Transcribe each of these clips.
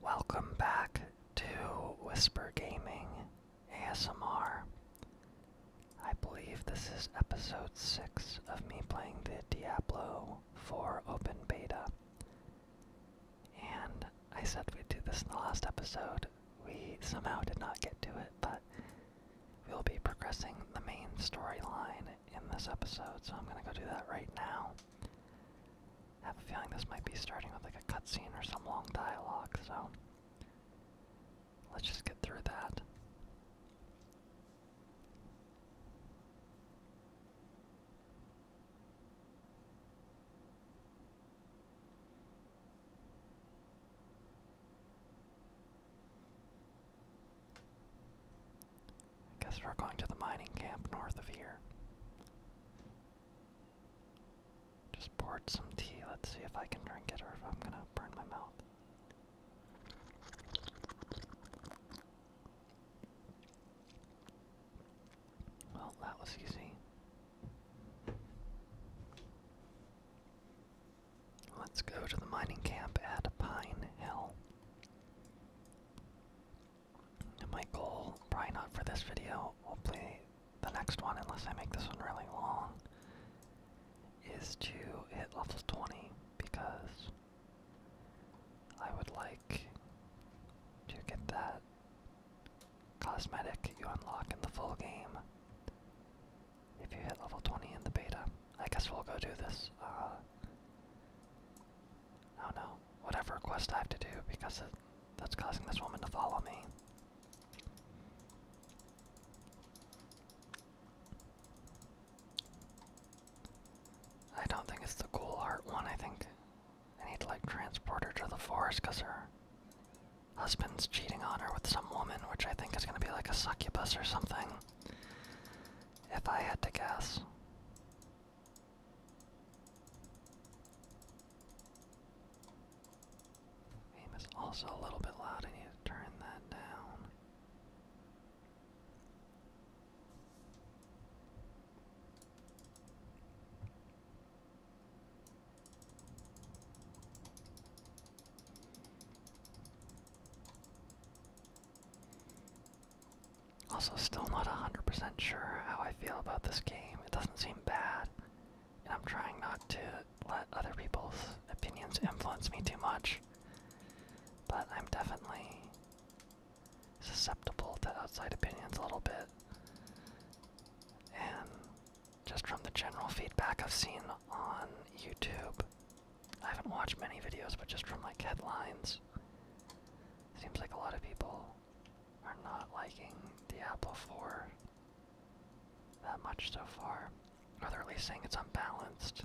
Welcome back to Whisper Gaming ASMR. I believe this is episode 6 of me playing the Diablo 4 open beta. And I said we'd do this in the last episode. We somehow did not get to it, but we'll be progressing the main storyline in this episode, so I'm gonna go do that right now. I have a feeling this might be starting with like a cutscene or some long dialogue, so let's just get through that. I guess we're going to the mining camp north of here. Just poured some tea. Let's see if I can drink it or if I'm gonna burn my mouth. Well, that was easy. Let's go to the mining camp at Pine Hill my goal, probably not for this video, hopefully the next one, unless I make this one really long, is to hit level 20 because I would like to get that cosmetic you unlock in the full game if you hit level 20 in the beta. I guess we'll go do this uh, I do whatever quest I have to do because that's causing this woman to follow me. I don't think it's the cool heart one, I think I need to like transport her to the forest because her husband's cheating on her with some woman, which I think is gonna be like a succubus or something. If I had to guess. Aim also a little bit loud. I need to turn that down. Also, still not 100% sure how I feel about this game. It doesn't seem bad, and I'm trying not to let other people's opinions influence me too much. But I'm definitely susceptible to outside opinions a little bit. And just from the general feedback I've seen on YouTube, I haven't watched many videos, but just from like headlines, seems like a lot of people are not liking the Apple 4 that much so far. Are they're at least saying it's unbalanced.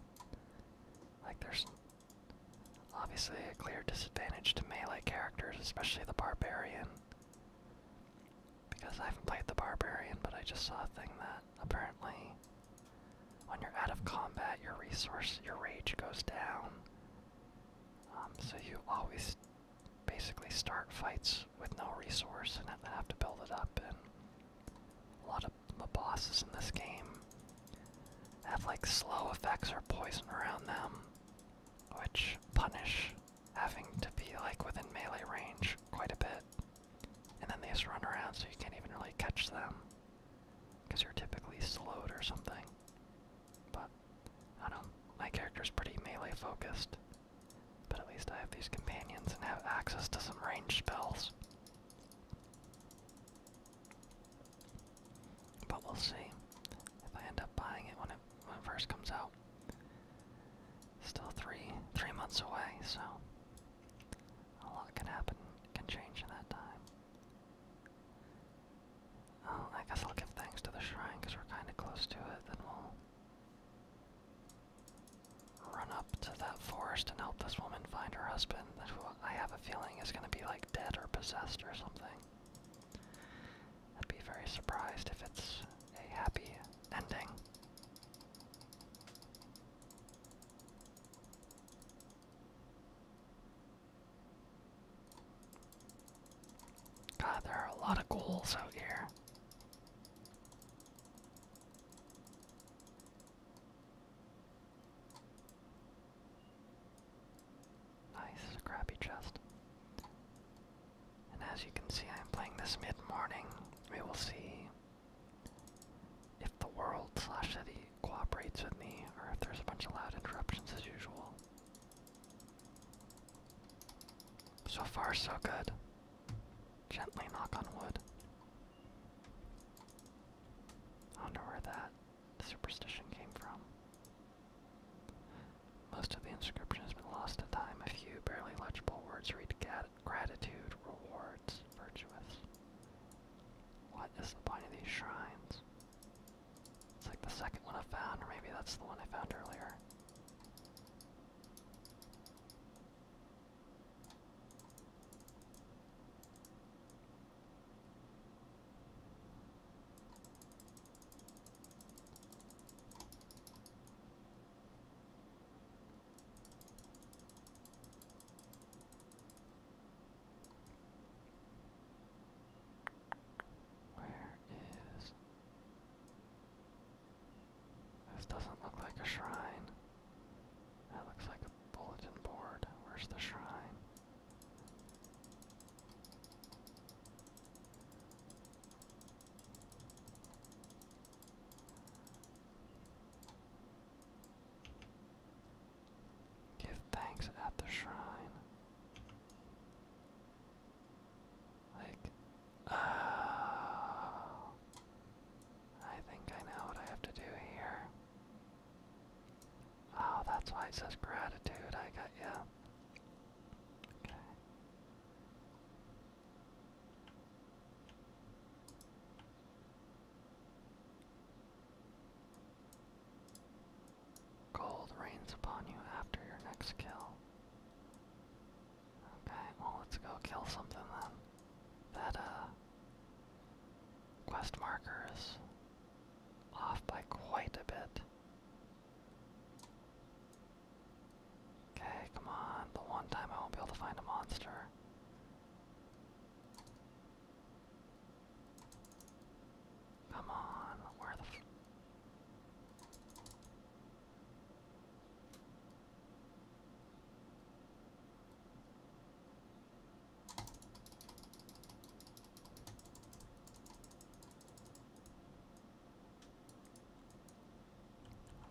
Like there's obviously a clear disadvantage to melee characters, especially the barbarian. Because I haven't played the barbarian, but I just saw a thing that apparently when you're out of combat your resource your rage goes down um, so you always basically start fights with no resource and have to build it up. And a lot of the bosses in this game have like slow effects or poison around them, which punish having to be like within melee range quite a bit. And then they just run around so you can't even really catch them because you're typically slowed or something. But I don't my character's pretty melee focused. But at least I have these companions and have access to some range spells. But we'll see if I end up buying it when it when it first comes out. Still three three months away, so a lot can happen, can change in that time. Oh, I guess I'll give thanks to the shrine because we're kind of close to it. Then we'll run up to that forest and help this woman find her husband, who I have a feeling is going to be like dead or possessed or something. I'd be very surprised if it's a happy ending. God, there are a lot of goals out here. Nice, a crappy chest. And as you can see, I'm playing this mid-morning. We will see if the world slash city cooperates with me, or if there's a bunch of loud interruptions as usual. So far, so good. Gently knock on wood. wonder where that superstition came from. Most of the inscription has been lost to time. A few barely legible words read gratitude, rewards, virtuous. What is the point of these shrines? It's like the second one I found, or maybe that's the one I found earlier. Where is. This doesn't look like a shrine. That looks like a bulletin board. Where's the shrine? Give thanks at the shrine. Like, uh, I think I know what I have to do here. Oh, that's why it says gratitude. I got you. Okay. Cold rains upon you after your next kill. Okay, well let's go kill something then. That uh, quest marker is off by quite a bit. Okay, come on. The one time I won't be able to find a monster. Come on, where the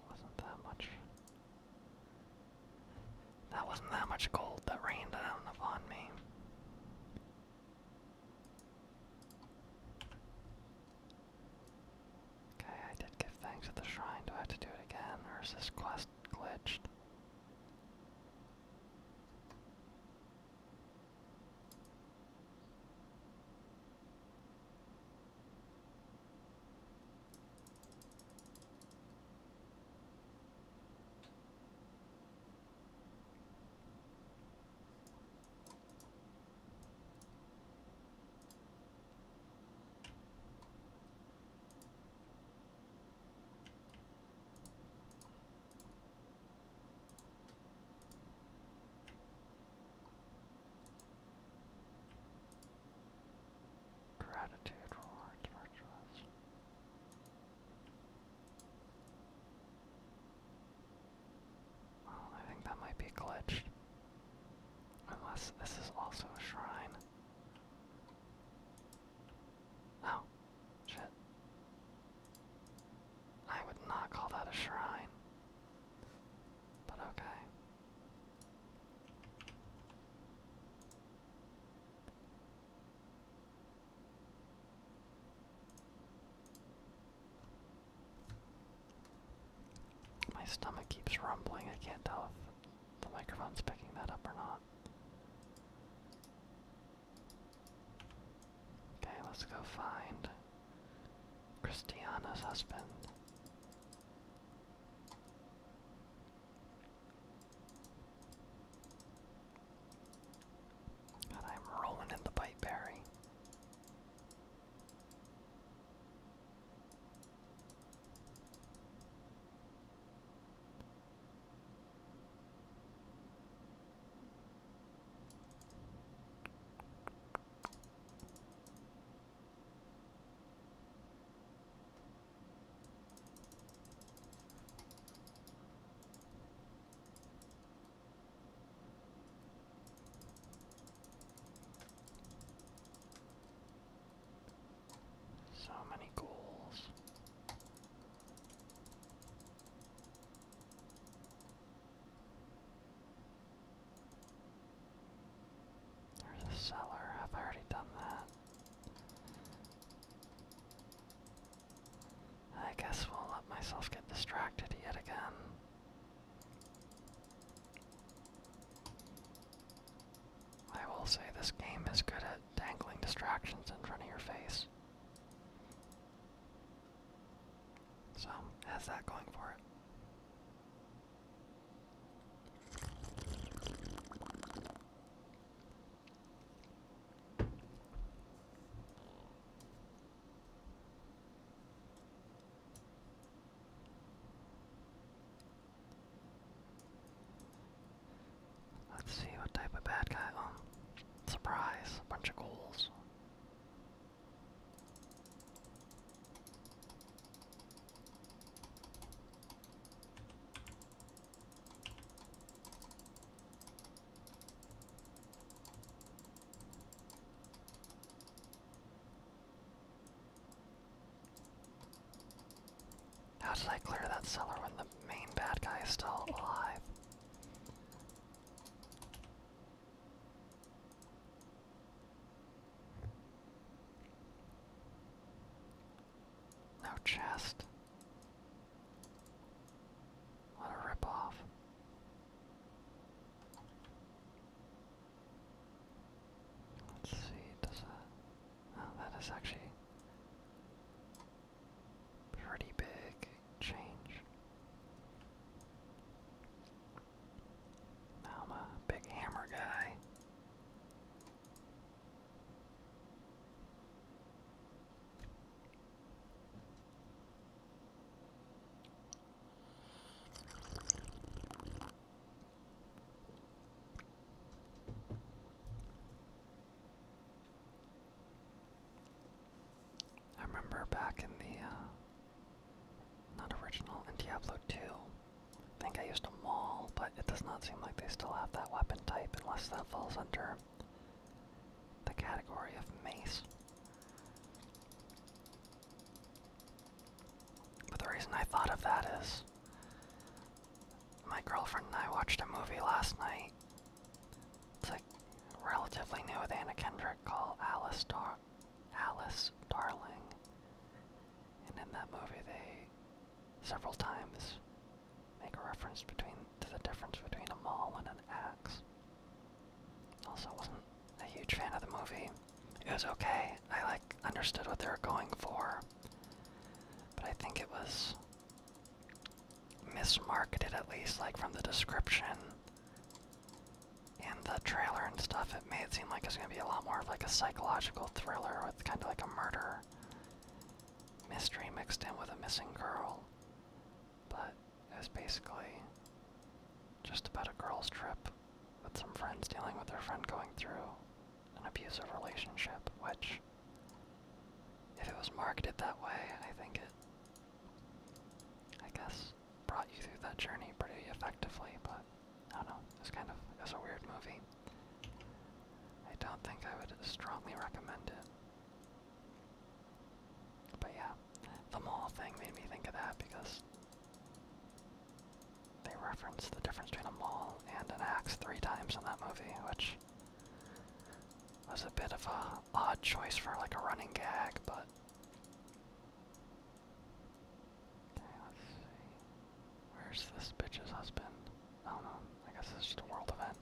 wasn't that much that wasn't that much gold that rained down upon me. Okay, I did give thanks at the shrine. Do I have to do it again, or is this quest glitched? Gratitude for our virtuous. I think that might be glitched. Unless this is also a shrine. Oh, shit. I would not call that a shrine. But okay. My stomach keeps rumbling. I can't tell if the microphone's picking that up or not. Okay, let's go find Christiana's husband. God, I'm rolling in the bite berry. So many goals. There's a cellar. i already done that. I guess i will let myself get distracted yet again. I will say this game is good at dangling distractions in front of your face. So, has that going for it. Let's see what type of bad guy. Oh, surprise! A bunch of goals. How did I clear that cellar when the main bad guy is still alive? No chest. What a ripoff. Let's see, does that... Uh, oh, that is actually pretty big change. Now I'm a big hammer guy. I remember back in the, uh, not original, Diablo 2, I think I used a maul, but it does not seem like they still have that weapon type unless that falls under the category of mace. But the reason I thought of that is my girlfriend and I watched a movie last night. It's like relatively new with Anna Kendrick called Alice Dar Alice Darling. And in that movie they several times make a reference between to the difference between a maul and an axe. Also, wasn't a huge fan of the movie. It was okay. I like understood what they were going for, but I think it was mismarketed at least, like from the description and the trailer and stuff. It made it seem like it's gonna be a lot more of like a psychological thriller with kind of like a murder mystery mixed in with a missing girl. But it was basically just about a girl's trip with some friends dealing with their friend going through an abusive relationship, which, if it was marketed that way, I think it, I guess, brought you through that journey pretty effectively, but I don't know, it's kind of, it's a weird movie. I don't think I would strongly recommend it. But yeah, the mall thing made me think of that because they reference the difference between a mall and an axe three times in that movie, which was a bit of a odd choice for like a running gag, but Okay, let's see. Where's this bitch's husband? I don't know. I guess it's just a world event.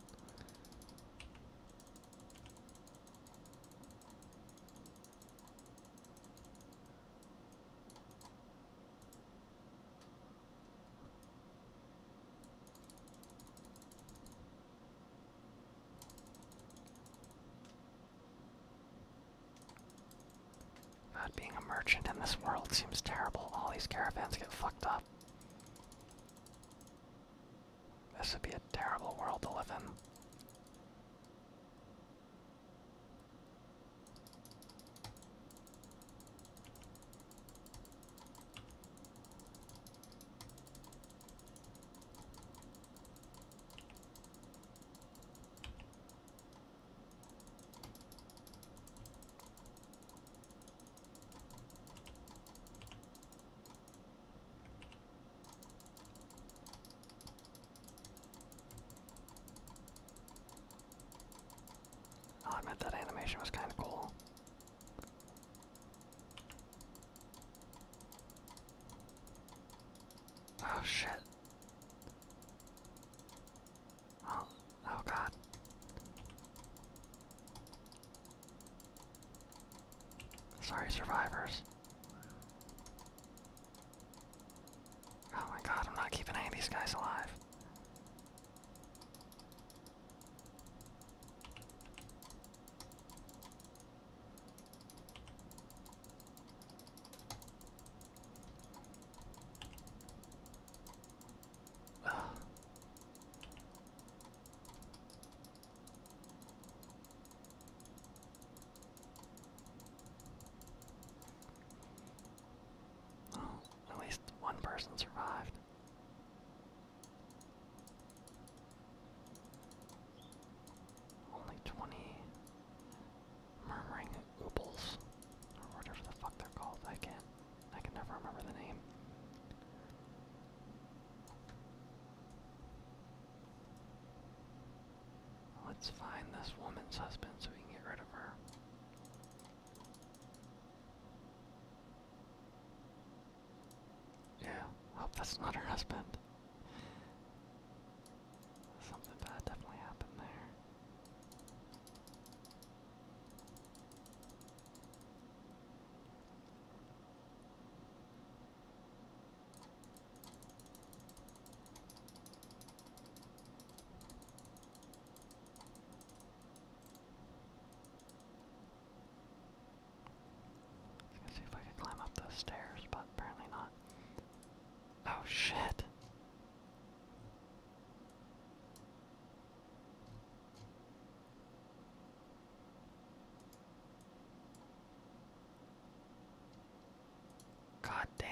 God, being a merchant in this world seems terrible. All these caravans get fucked up. This would be a terrible world to live in. Oh, I'll admit that animation was kind of cool. Oh shit. Oh, oh god. Sorry, survivors. Oh my god, I'm not keeping any of these guys alive. Oh, at least one person survived. Only 20 murmuring oobles, or whatever the fuck they're called. I can't, I can never remember the name. Let's find this woman's husband so we can get rid of her. Yeah, hope that's not her husband. Something bad definitely happened there. I can see if I can climb up those stairs, but apparently not. Oh shit! God damn.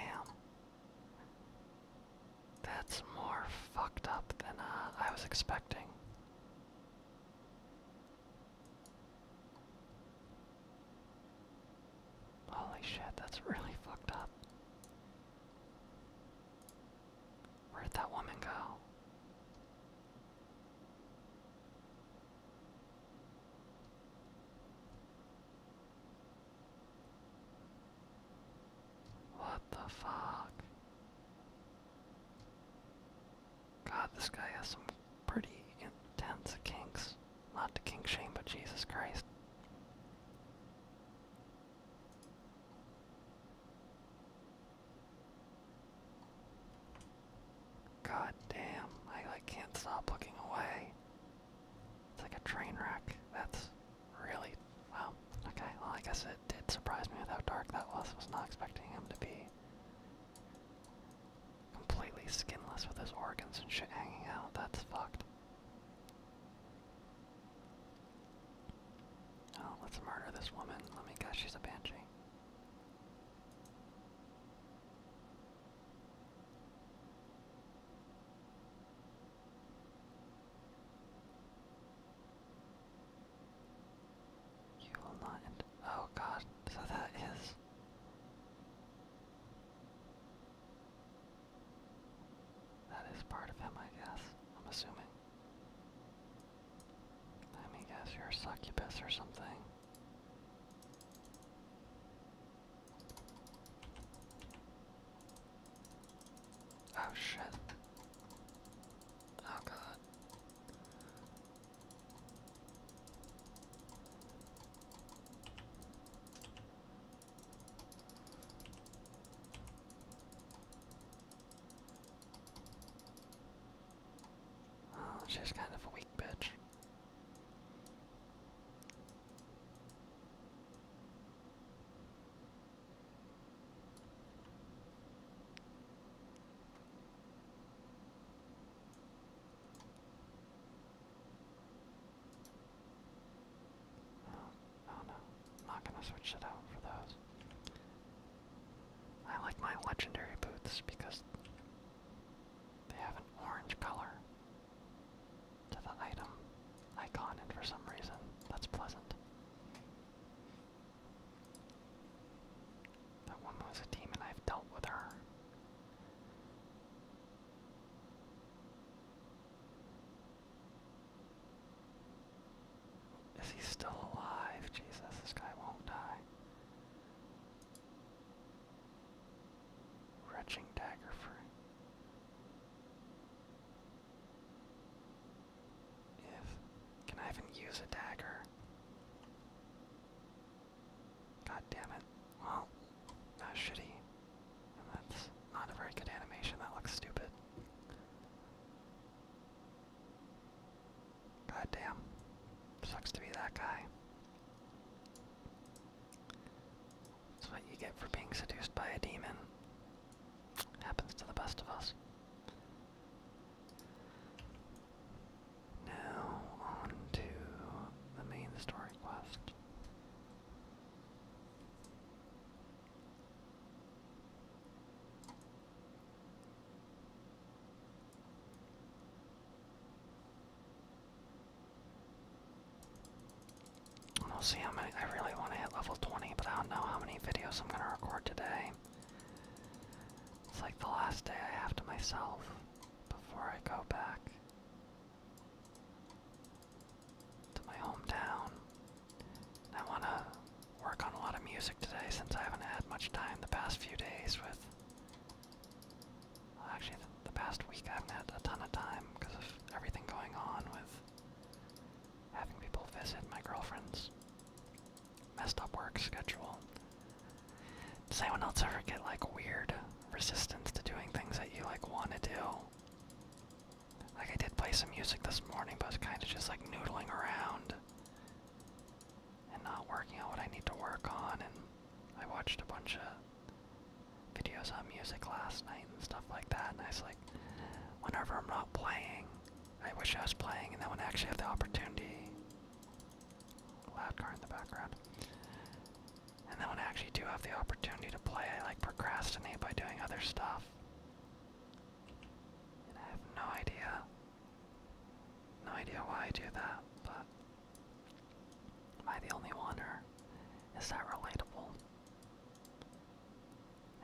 That's more fucked up than uh, I was expecting. Holy shit, that's really fucked up. Where'd that woman go? What the fuck? God, this guy has some pretty intense kinks. Not to kink shame, but Jesus Christ. God damn, I like can't stop looking away. It's like a train wreck. That's really wow. Okay, well I guess it did surprise me Without dark that was. was not expecting him to be completely skinless with his organs and shit hanging out. That's fucked. Oh, let's murder this woman. Let me guess she's a banshee. You will not Oh god, so that is. That is part of him, I guess. I'm assuming. I mean, guess you're a succubus or something. Oh shit. Oh god. Oh, she's kind of a weak bitch. Oh, no, not gonna switch it out for those. I like my legendary boots because they have an orange color to the item icon, and for some reason, that's pleasant. That woman was a demon, I've dealt with her. Is he still alive? Jesus, this guy won't die. Wretching dagger for. If can I even use a dagger? God damn it. Well, that's shitty. that's not a very good animation, that looks stupid. God damn. Sucks to be that guy. That's what you get for being seduced by a demon. Happens to the best of us. Now on to the main story quest. We'll see how many. I really want to hit level 20, but I don't know how many videos I'm going to record today. It's like the last day I have to myself before I go back to my hometown. I want to work on a lot of music today since I haven't had much time the past few days with Actually, the, past week I haven't had a ton of time because of everything going on with having people visit my girlfriend's messed up work schedule. Does anyone else ever get like weird resistance to doing things that you like want to do? Like I did play some music this morning, but I was kind of just like noodling around and not working on what I need to work on. And I watched a bunch of videos on music last night and stuff like that. And I was like, whenever I'm not playing, I wish I was playing, and then when I actually have the opportunity, loud car in the background. And then when I actually do have the opportunity to play, I like procrastinate by doing other stuff. And I have no idea no idea why I do that, but am I the only one, or is that relatable?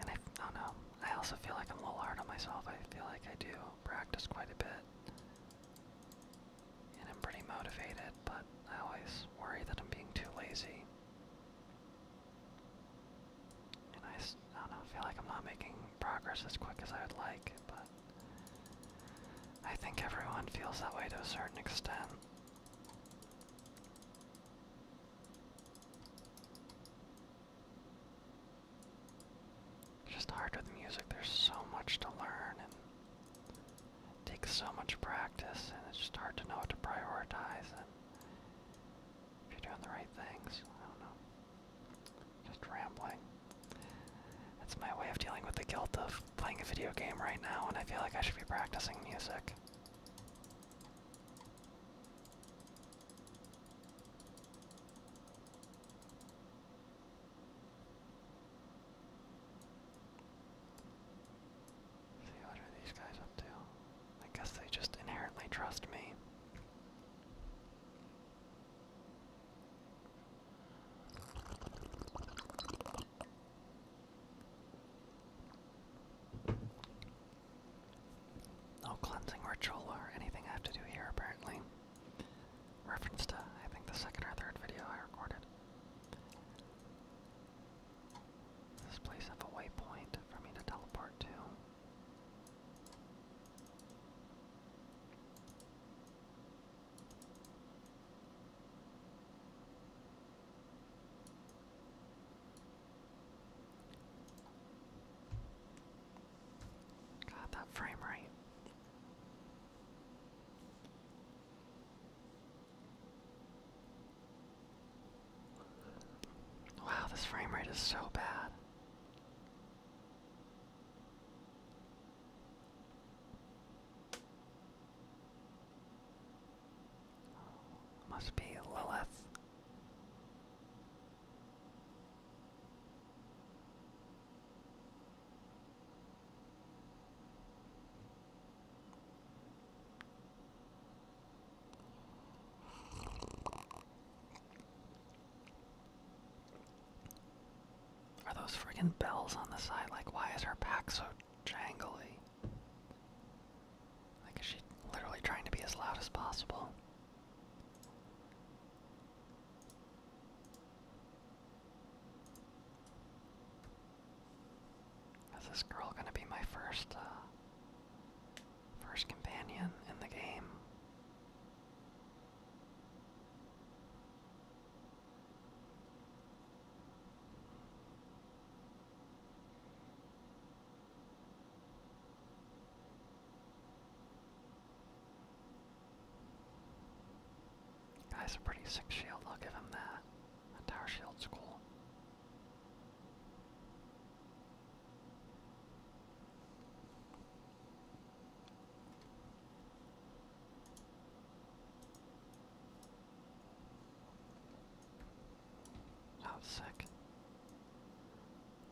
And I don't know. I also feel like I'm a little hard on myself. I feel like I do practice quite a bit, and I'm pretty motivated, but I always worry that I'm being too lazy. And I, don't know, I feel like I'm not making progress as quick as I would like, but I think everyone feels that way to a certain extent. just hard with music, there's so much to learn and takes so much practice and it's just hard to know what to prioritize and if you're doing the right things, I don't know just rambling. That's my way of dealing with the guilt of playing a video game right now, and I feel like I should be practicing music. see, what are these guys up to? I guess they just inherently trust me. No cleansing ritual or anything I have to do here, apparently. Reference to, I think, the second or third video I recorded. Does this place have a waypoint for me to teleport to? Got that frame right. Wow, this frame rate is so bad. Oh, must be Lilith. Are those friggin' bells on the side? Like, why is her pack so jangly? Like, is she literally trying to be as loud as possible? Is this girl gonna be my first, uh, first companion in the game? Guy's a pretty sick shield, I'll give him that. That tower shield's cool. Oh, sick.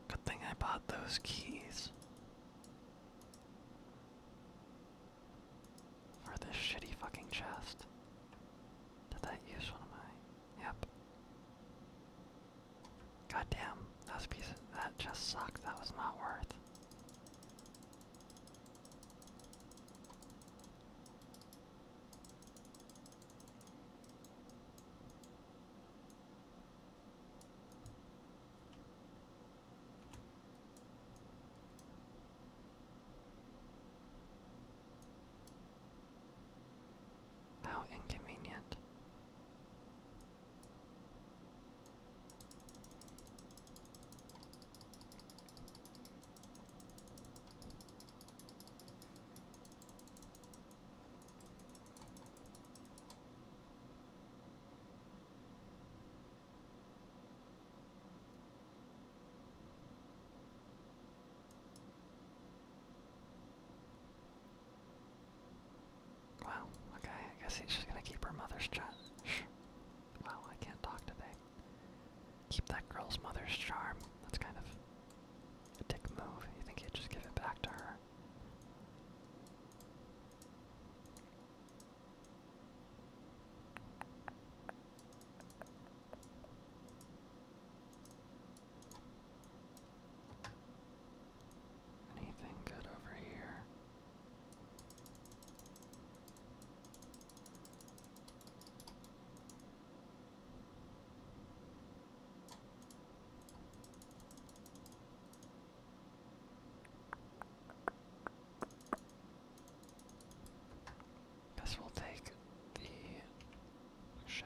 Good thing I bought those keys. For this shitty fucking chest. Did that use one of my. Yep. Goddamn, that was piece that just sucked. That was not worth how inconvenient. Wow, okay, I guess he's just gonna keep her mother's chat. Shh. Well, I can't talk today. Keep that girl's mother's charm. That's kind of a dick move. You think you would just give it back to her? Anything good over here? Guess will take the oh, shit.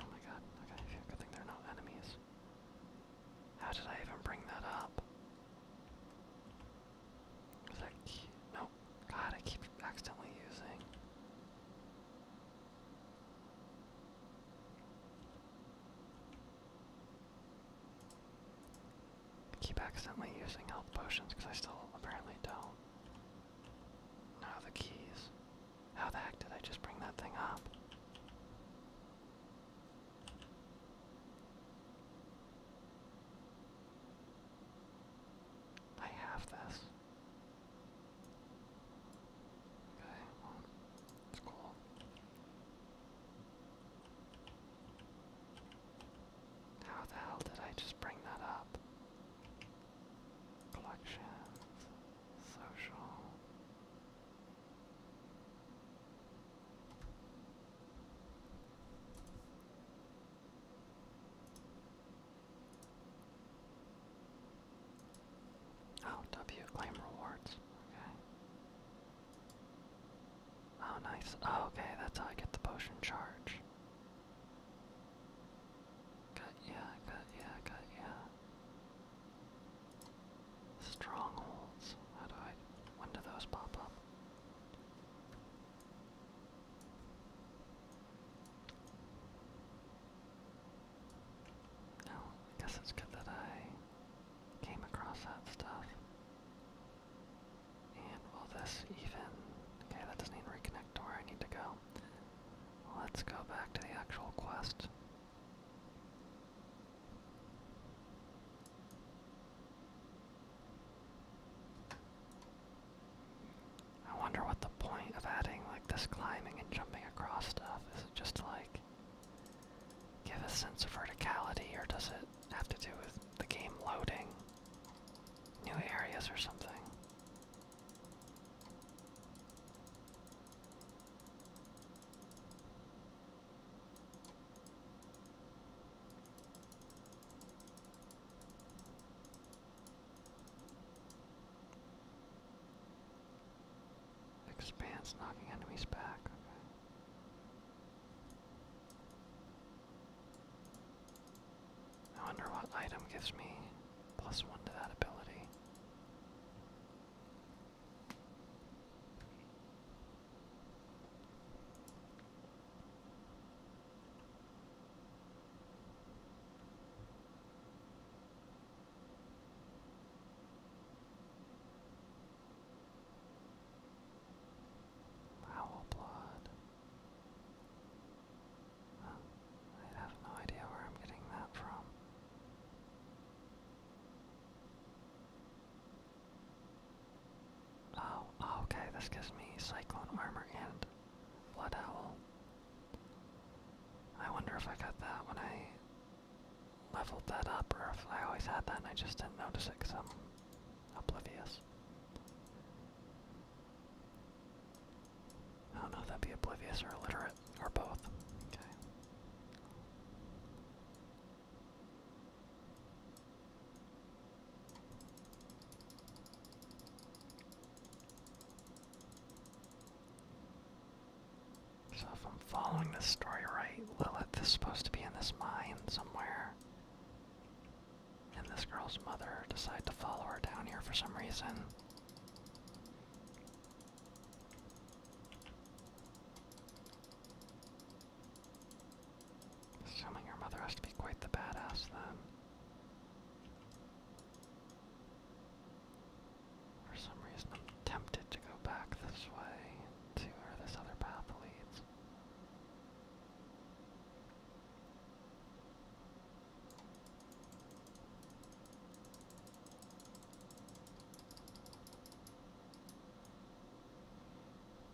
Oh my god, okay, good thing they're not enemies. How did I even bring that up? Is No. God, I keep accidentally using. I keep accidentally using health potions because I still apparently don't. Now the keys. How the heck did I just bring that thing up? I have this. Okay, well, cool. How the hell did I just bring that up? Collections, social. Oh, W claim rewards. Okay. Oh, nice. Oh, okay, that's how I get the potion charge. Got yeah, got yeah, got yeah. Strongholds. How do I? When do those pop up? Oh, I guess it's good that I came across that stuff. And will this even. Okay, that doesn't even reconnect to where I need to go. Let's go back to the actual quest. I wonder what the point of adding like this climbing and jumping across stuff is it just like give a sense of verticality or does it have to do with the game loading new areas or something? Expanse knocking enemies back. I wonder what item gives me plus one to that ability. Owl blood. I have no idea where I'm getting that from. Oh, oh, okay, this gives me Cyclone Armor and Blood Owl. I wonder if I got that when I leveled that up, or if I always had that and I just didn't notice it because I'm oblivious. I don't know if that'd be oblivious or illiterate, or both. Okay. So if I'm following this story right, Lilith is supposed to be in this mine somewhere. And this girl's mother decided to follow her down here for some reason. Assuming her mother has to be quite the badass then. For some reason, I'm tempted to go back this way to where this other path leads.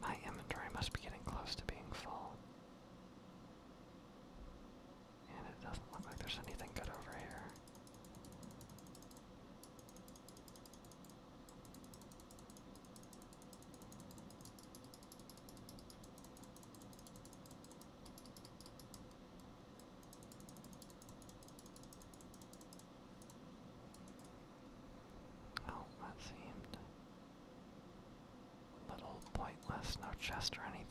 My inventory must be getting close to being full. And it doesn't look like there's anything good over here. Oh, that seemed little pointless, no chest or anything.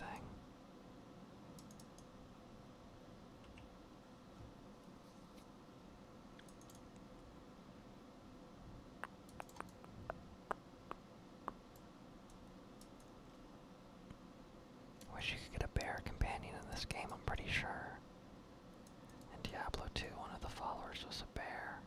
Wish you could get a bear companion in this game, I'm pretty sure. In Diablo 2, one of the followers was a bear.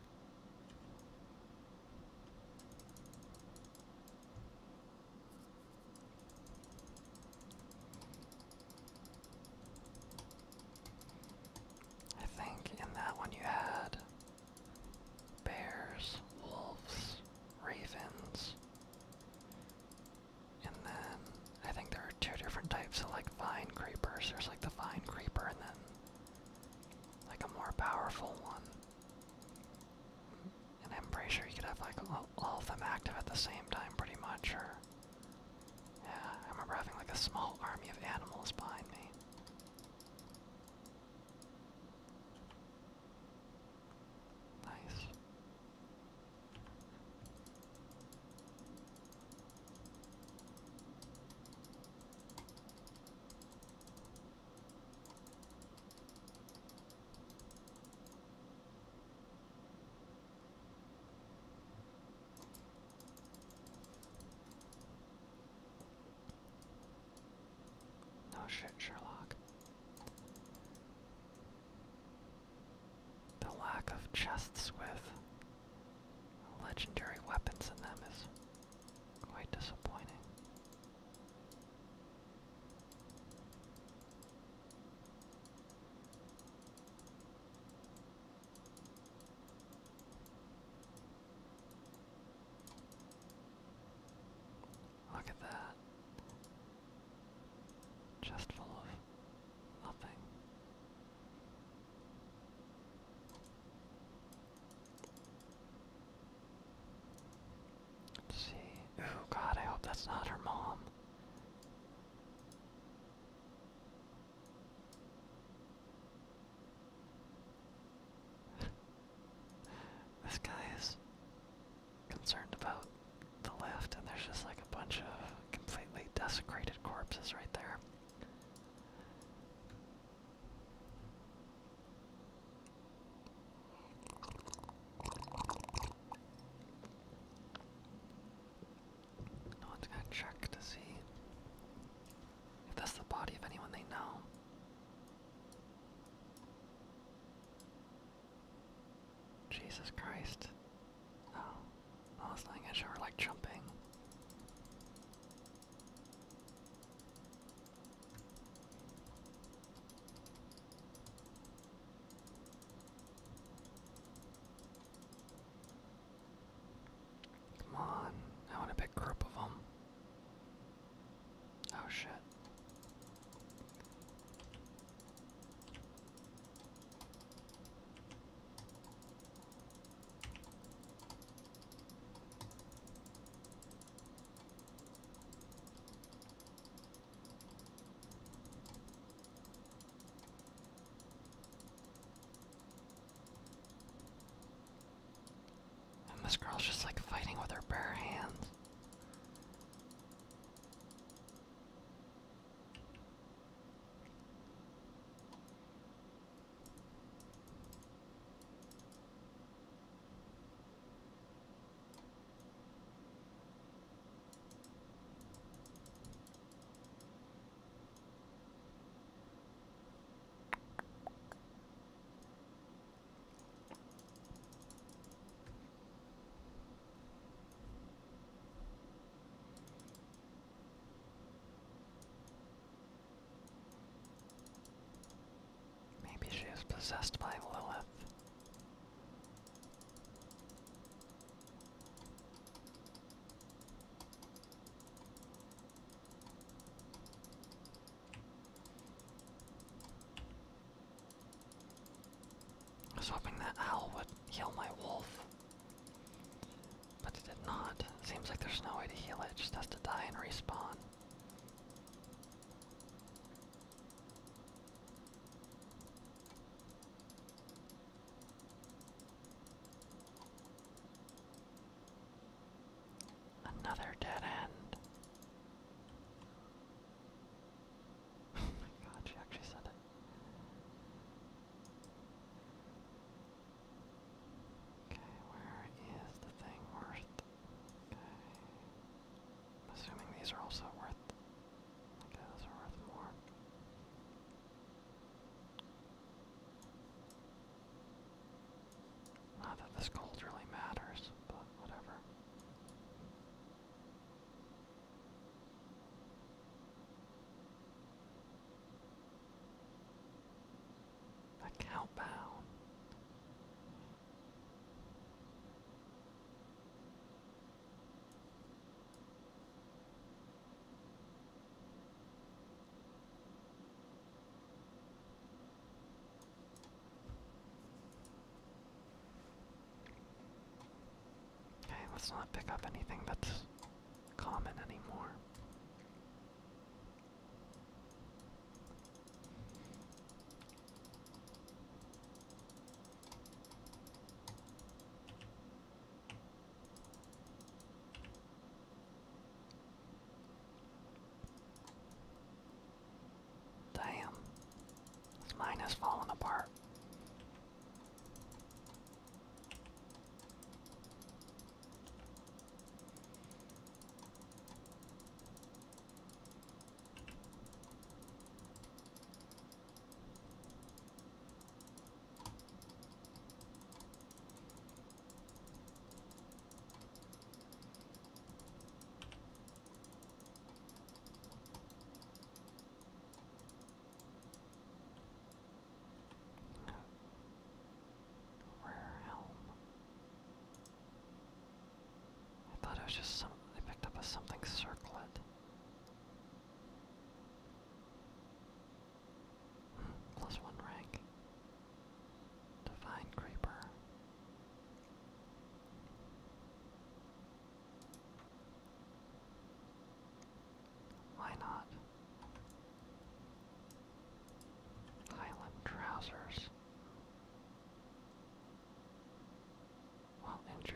I think in that one you had bears, wolves, ravens, and then I think there are two different types of like vine creepers. There's like the vine creeper and then like a more powerful one. And I'm pretty sure you could have like all, of them active at the same time, pretty much, yeah, I remember having like a small army of animals behind me. Nice. No oh, shit, Sherlock. The lack of chests with legendary weapons in them is quite disappointing. Look at that. Just full of nothing. Let's see. Oh god, I hope that's not her mom this guy is concerned about the left, and there's just like a bunch of completely desecrated corpses right there. No one's gonna check to see if that's the body of anyone they know. Jesus Christ. Oh. Oh, it's not gonna her like jumping. Come on. I want a big group of them. Oh shit. And this girl's just like fighting with her bare hands. Maybe she is possessed by Lilith. I was hoping that owl would heal my wolf, but it did not. Seems like there's no way to heal it, it just has to die and respawn. Another dead end. Oh my god, she actually said it. Okay, where is the thing worth? Okay. assuming these are also worth. Okay, those are worth more. Not that this gold really matters, but whatever. A countdown. Okay, let's not pick up anything that's common anymore. Damn, this mine has fallen apart. Rare helm. I thought it was just some. I picked up a something circlet. Plus one rank. Divine Creeper. Why not? Highland trousers. Well injured.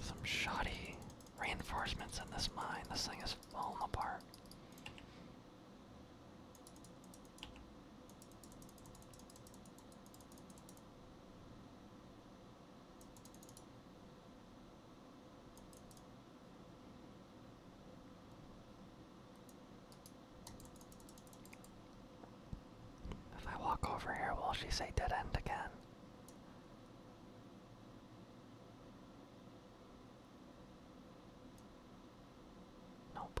Some shoddy reinforcements in this mine. This thing is falling apart. If I walk over here, will she say dead end again? Nope.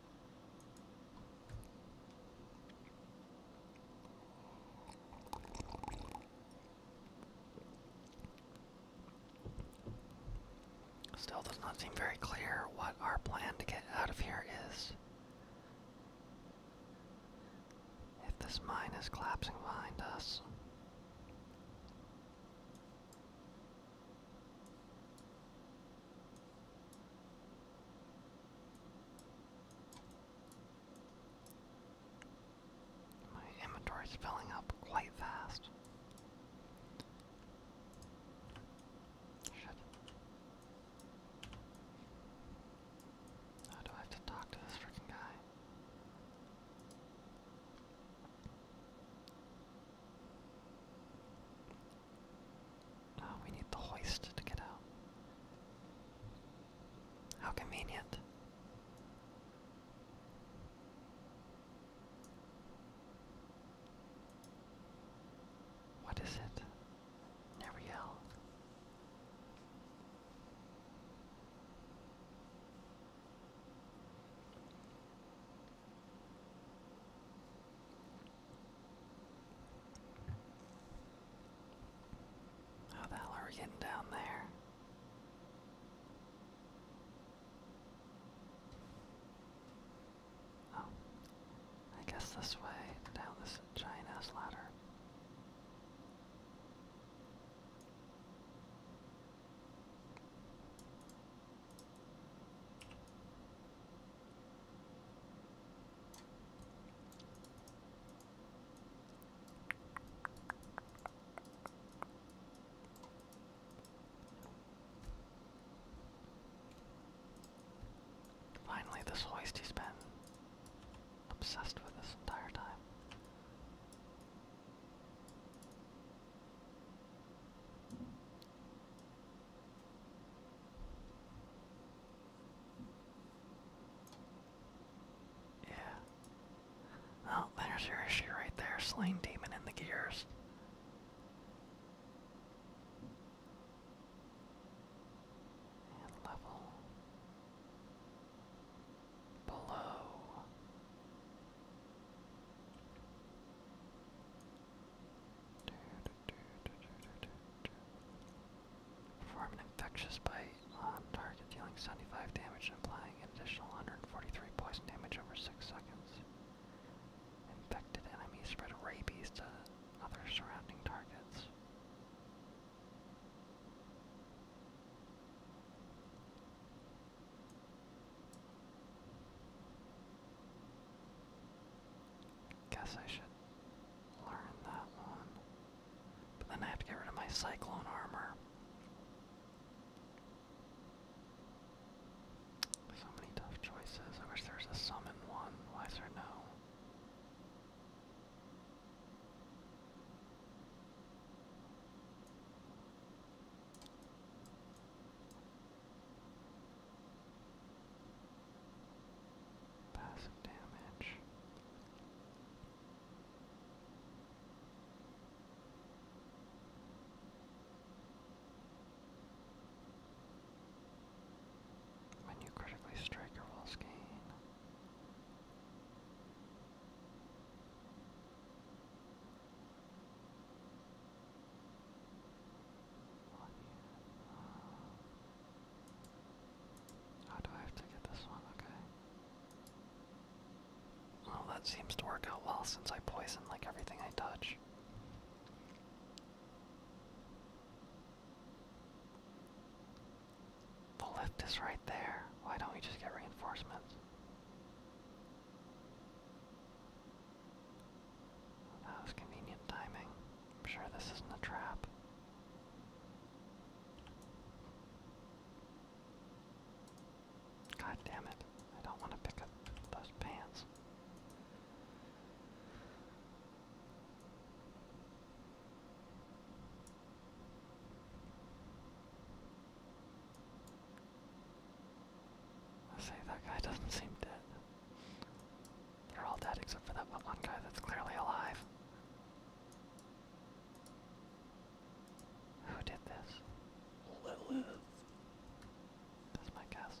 Still does not seem very clear what our plan to get out of here is. If this mine is collapsing behind us. My inventory's filling up quite fast. Shit. How do I have to talk to this freaking guy? we need the hoist to get out. How convenient. What is it? Nariel. How the hell are we getting down there? Oh, I guess this way, down this giant ass ladder. Finally, this hoist has been obsessed with this entire time. Yeah. Oh, there's your issue right there. Slain demon in the gears. level below. Do, Perform an infectious bite on target, dealing 75 damage and applying an additional 143 poison damage over 6 seconds. Infected enemies spread rabies to other surrounding targets. Guess I should learn that one. But then I have to get rid of my cyclone armor. So many tough choices. I wish there was a summon one. Why is there no? Passive damage. When you critically strike your walls gain. How do I have to get this one? Okay. Well, that seems to work out well since I poison like everything I touch. The lift is right there. Why don't we just get reinforcements? That was convenient timing. I'm sure this isn't a trap. God damn it. I don't want to pick up those pants. I say that guy doesn't seem dead. They're all dead except for that one guy that's clearly alive. Who did this? Lilith. That's my guess.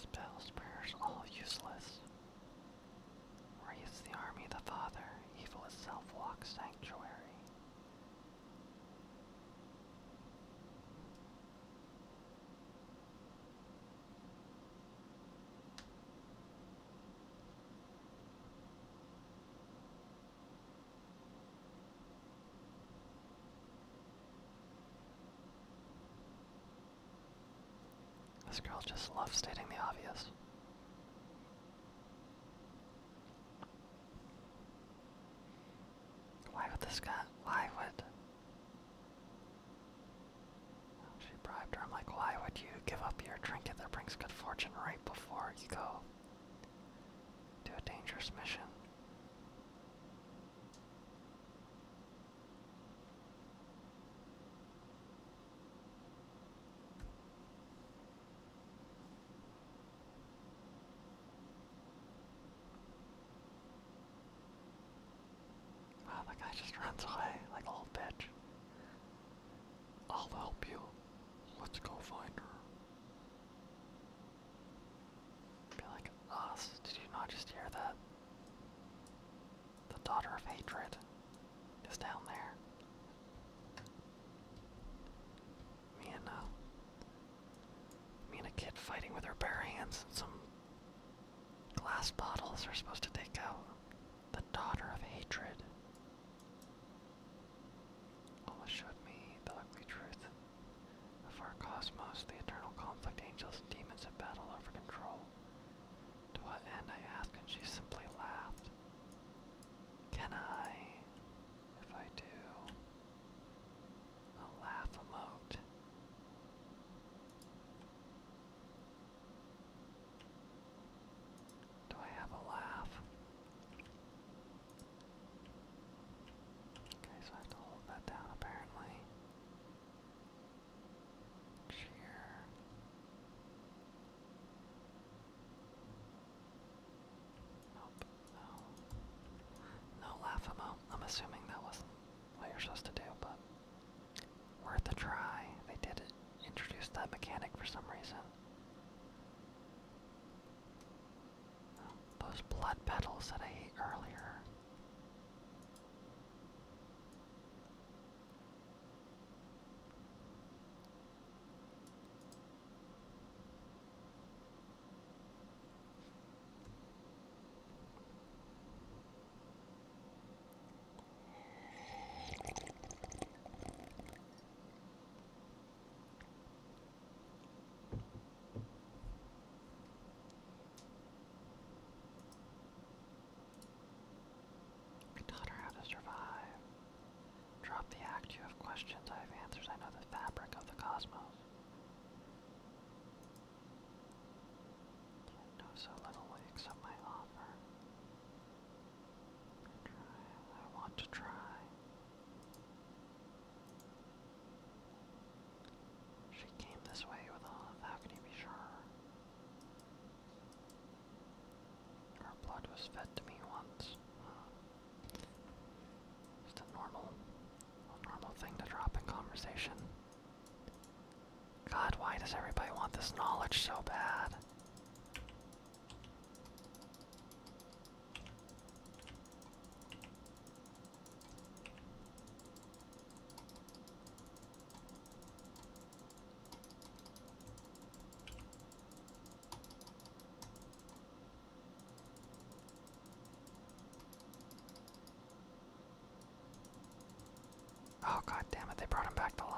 Spells, prayers, all useless. Raise the army of the Father, evil itself walks sanctuary. This girl just loves stating the obvious. Why would this guy? Why would. She bribed her. I'm like, why would you give up your trinket that brings good fortune right before you go to a dangerous mission. Wow, the guy just runs away like a little bitch. I'll help you. Let's go find her. Be like us. Did you not just hear that? The daughter of hatred is down there. Me and uh, me and a kid fighting with her bare hands some glass bottles are supposed to take out the daughter of hatred. Almost showed me the ugly truth. Of our cosmos, the eternal conflict angels and demons have battled over control. To what end, I asked, and she simply laughed. Can I, if I do, a laugh emote? Do I have a laugh? Okay, so I have to hold that down apparently. Cheer. Nope, no. No Laughamo. I'm assuming that wasn't what you're supposed to do, but worth a try. They did introduce that mechanic for some reason. Those blood petals that I ate earlier. I how to survive. Drop the act, you have questions, I have answers, I know the fabric of the cosmos. Yet know so little will my offer. I want to try. She came this way with Olive, how can you be sure? Her blood was fed to me once. Uh, just a normal, normal thing to drop in conversation. God, why does everybody want this knowledge so bad? Oh god damn it, they brought him back to life.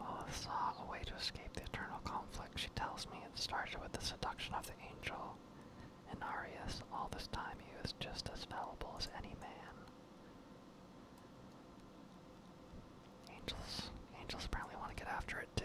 Lilith oh, saw a way to escape the eternal conflict. She tells me it started with the seduction of the angel. And Arius, all this time, he was just as fallible as any man. Angels, angels apparently want to get after it too.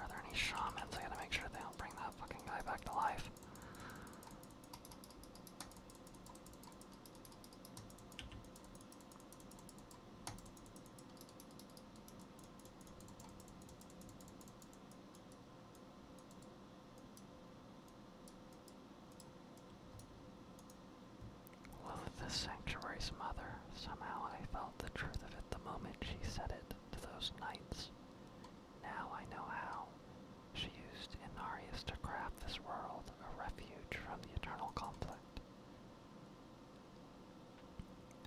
Are there any shamans? I gotta make sure they don't bring that fucking guy back to life. Lilith is Sanctuary's mother. Somehow I felt the truth of it the moment she said it to those knights. Now I know how. She used Inarius to craft this world a refuge from the eternal conflict.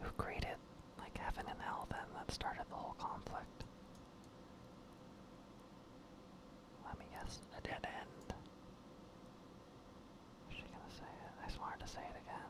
Who created, like heaven and hell then, that started the whole conflict? Let me guess, a dead end. Is she gonna say it? I just wanted to say it again.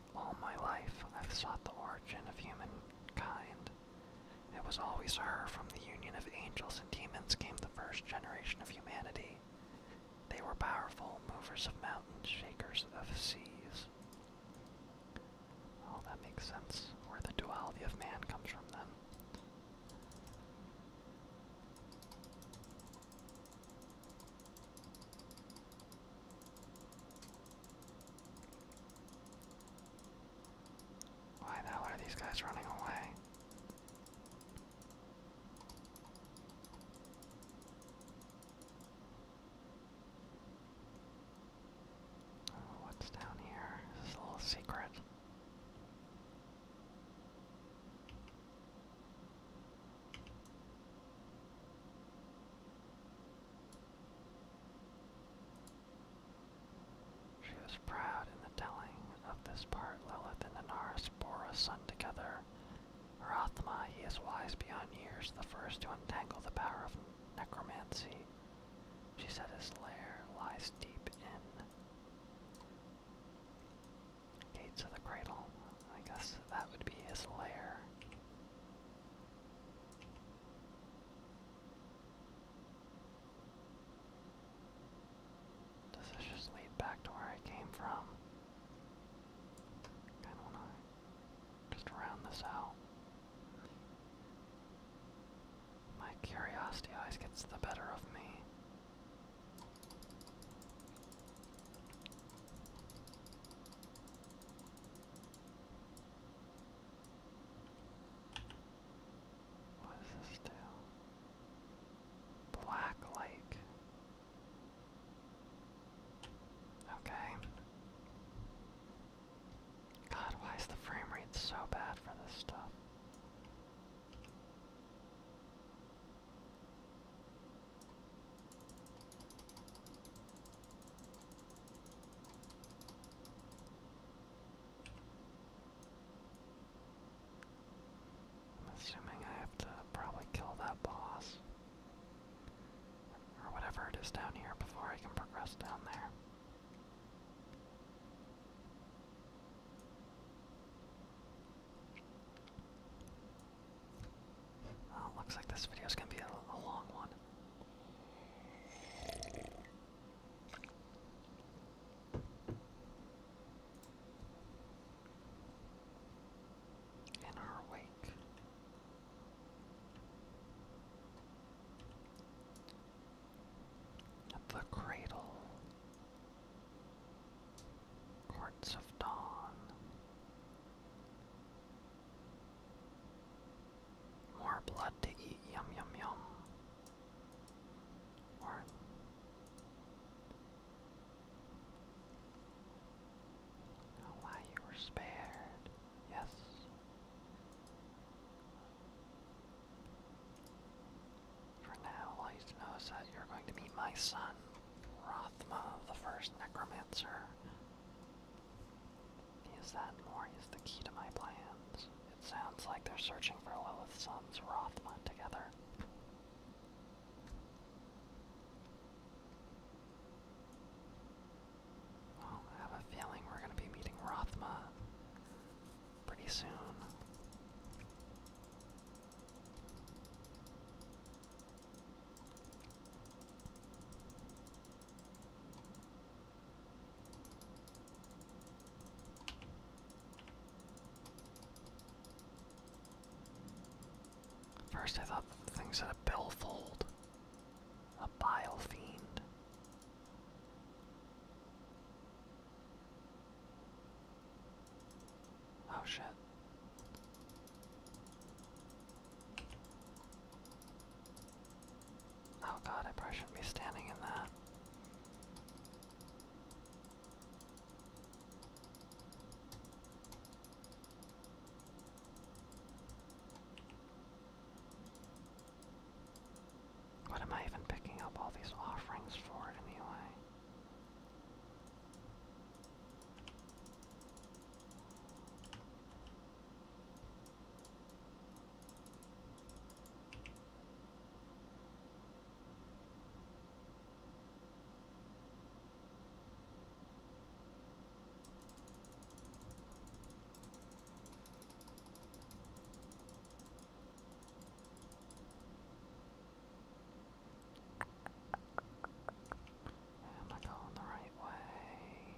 All my life, I've sought the origin of humankind. It was always her from the union of angels and demons came the first generation of humanity. They were powerful, movers of mountains, shakers of seas. Oh, that makes sense, where the duality of man comes from then. Why the hell are these guys running away? Oh, what's down here? This is a little secret. She was proud in the telling of this part. Lilith and Anaris bore a son together. Rathma, he is wise beyond years, the first to untangle the power of necromancy. She said his lair lies deep in. Gates of the Cradle. I guess that would be his lair. Does this just lead back to where I came from? Kind of wanna just round this out. My curiosity always gets the better of me. What this do? Black Lake. Okay. God, why is the frame rate so bad for this stuff? I'm assuming I have to probably kill that boss. Or whatever it is down here before I can progress down there. Oh, looks like this video is going to be a long one and are awake. The Cradle, Courts of Dawn, more blood to eat. Yum, yum, yum. why you were spared. Yes. For now, all know that you're going to meet my son, Rothma, the first necromancer. Is that more is the key to my plans? It sounds like they're searching for Lilith's son's Rothma together. Well, I have a feeling we're going to be meeting Rothma pretty soon. First I thought things thing a billfold. A bile fiend. Oh shit. Oh god, I probably shouldn't be standing in that. What am I even picking up all these offerings for anyway? Am I going the right way?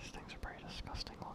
These things are pretty disgusting looking.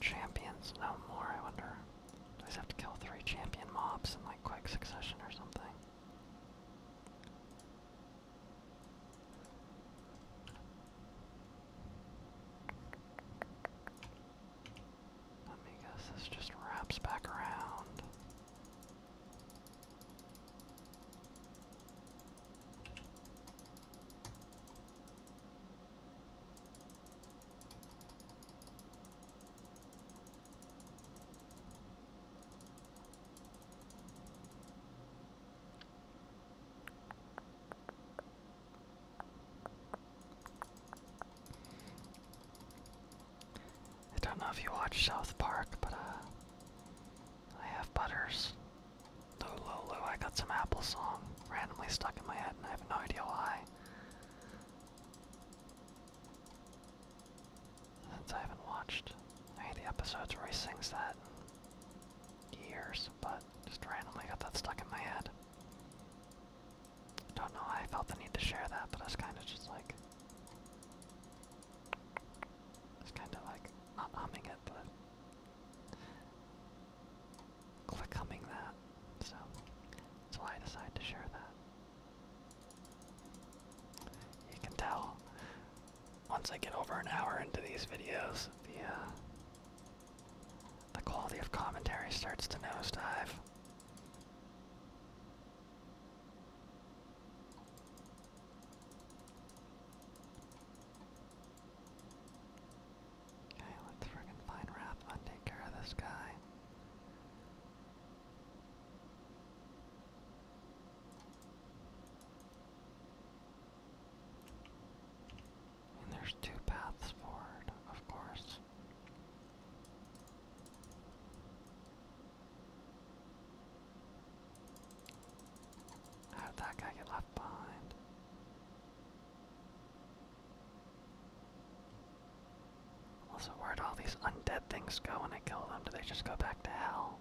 Champions no more, I wonder. Do I just have to kill three champion mobs in like quick succession or something? Let me guess this just wraps back around. I don't know if you watch South Park, but uh, I have Butters. Lulu, I got some Apple song randomly stuck in my head, and I have no idea why. Since I haven't watched any of the episodes where he sings that years, but just randomly got that stuck in my head. Don't know why I felt the need to share that, but I kind of just like. It's kind of like humming it, but click that, so that's why I decided to share that. You can tell, once I get over an hour into these videos, the, uh, the quality of commentary starts to nosedive. Okay, let's friggin' find Raphma and take care of this guy. And there's two paths forward, of course. How did that guy get left behind? Also, where'd all these undead things go when I kill them? Do they just go back to hell?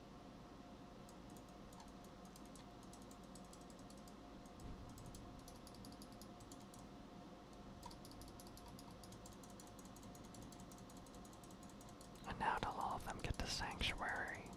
And now till all of them get to Sanctuary.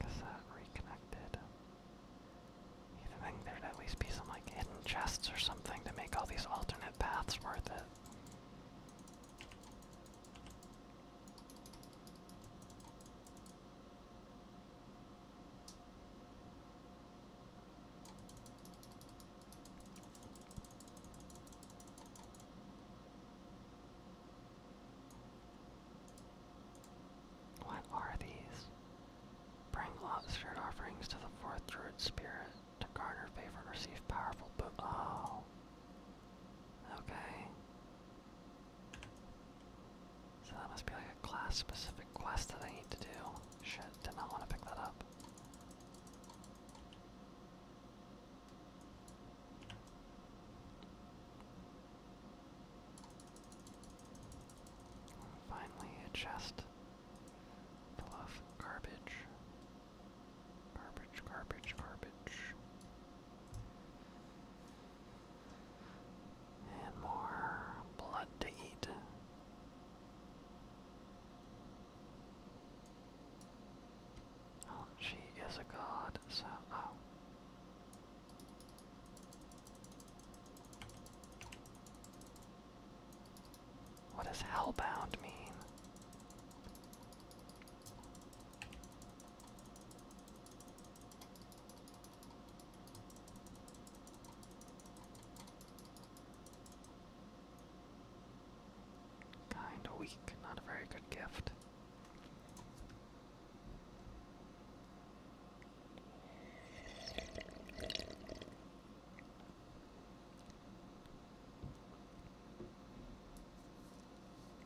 Like is that reconnected? You'd think there'd at least be some like hidden chests or something to make all these alternate paths worth it. What are these? Bring lobster offerings to the fourth druid spirit to garner favor and receive powerful bo- Oh. Okay. So that must be like a class-specific quest that I need to do. Shit, did not want to pick that up. Finally, a chest. Bluff, garbage. Garbage, garbage, garbage. And more blood to eat. Oh, she is a god, so oh. What does hellbound mean? Kinda weak, not a very good gift.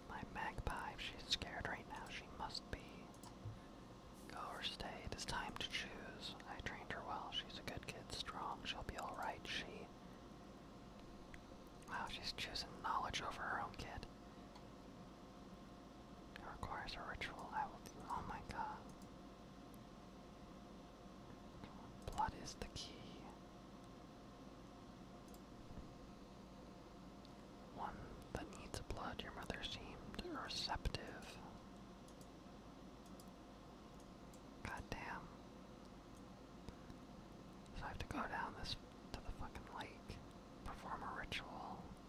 My magpie, she's scared right now, she must be. Go or stay, it is time to choose. I trained her well, she's a good kid, strong, she'll be alright, she. Wow, she's choosing knowledge over her own kid. It requires a ritual, I will do. Oh my god. Blood is the key. One that needs blood, your mother seemed receptive. God So I have to go down this to the fucking lake, perform a ritual.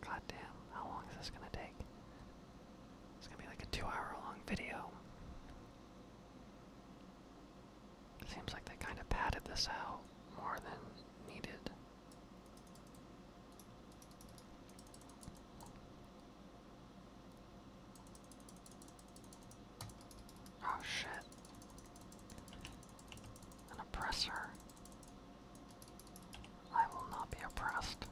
God damn, how long is this gonna take? It's gonna be like a two hour long video. Seems like they kind of padded this out more than needed. Oh shit. An oppressor. I will not be oppressed.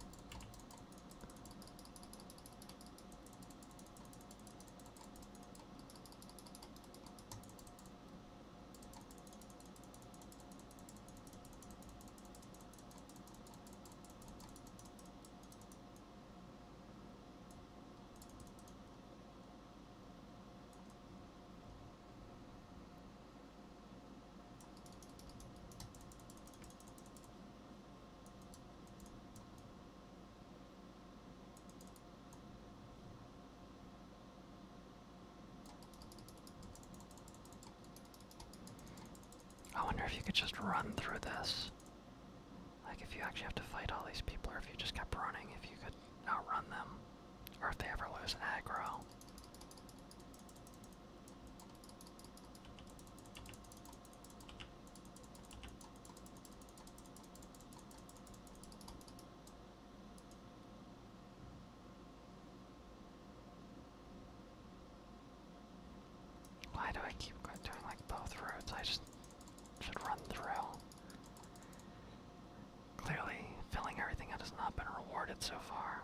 I wonder if you could just run through this. Like if you actually have to fight all these people, or if you just kept running, if you could outrun them, or if they ever lose aggro. Why do I keep doing like both roads? I just should run through. Clearly, filling everything out has not been rewarded so far.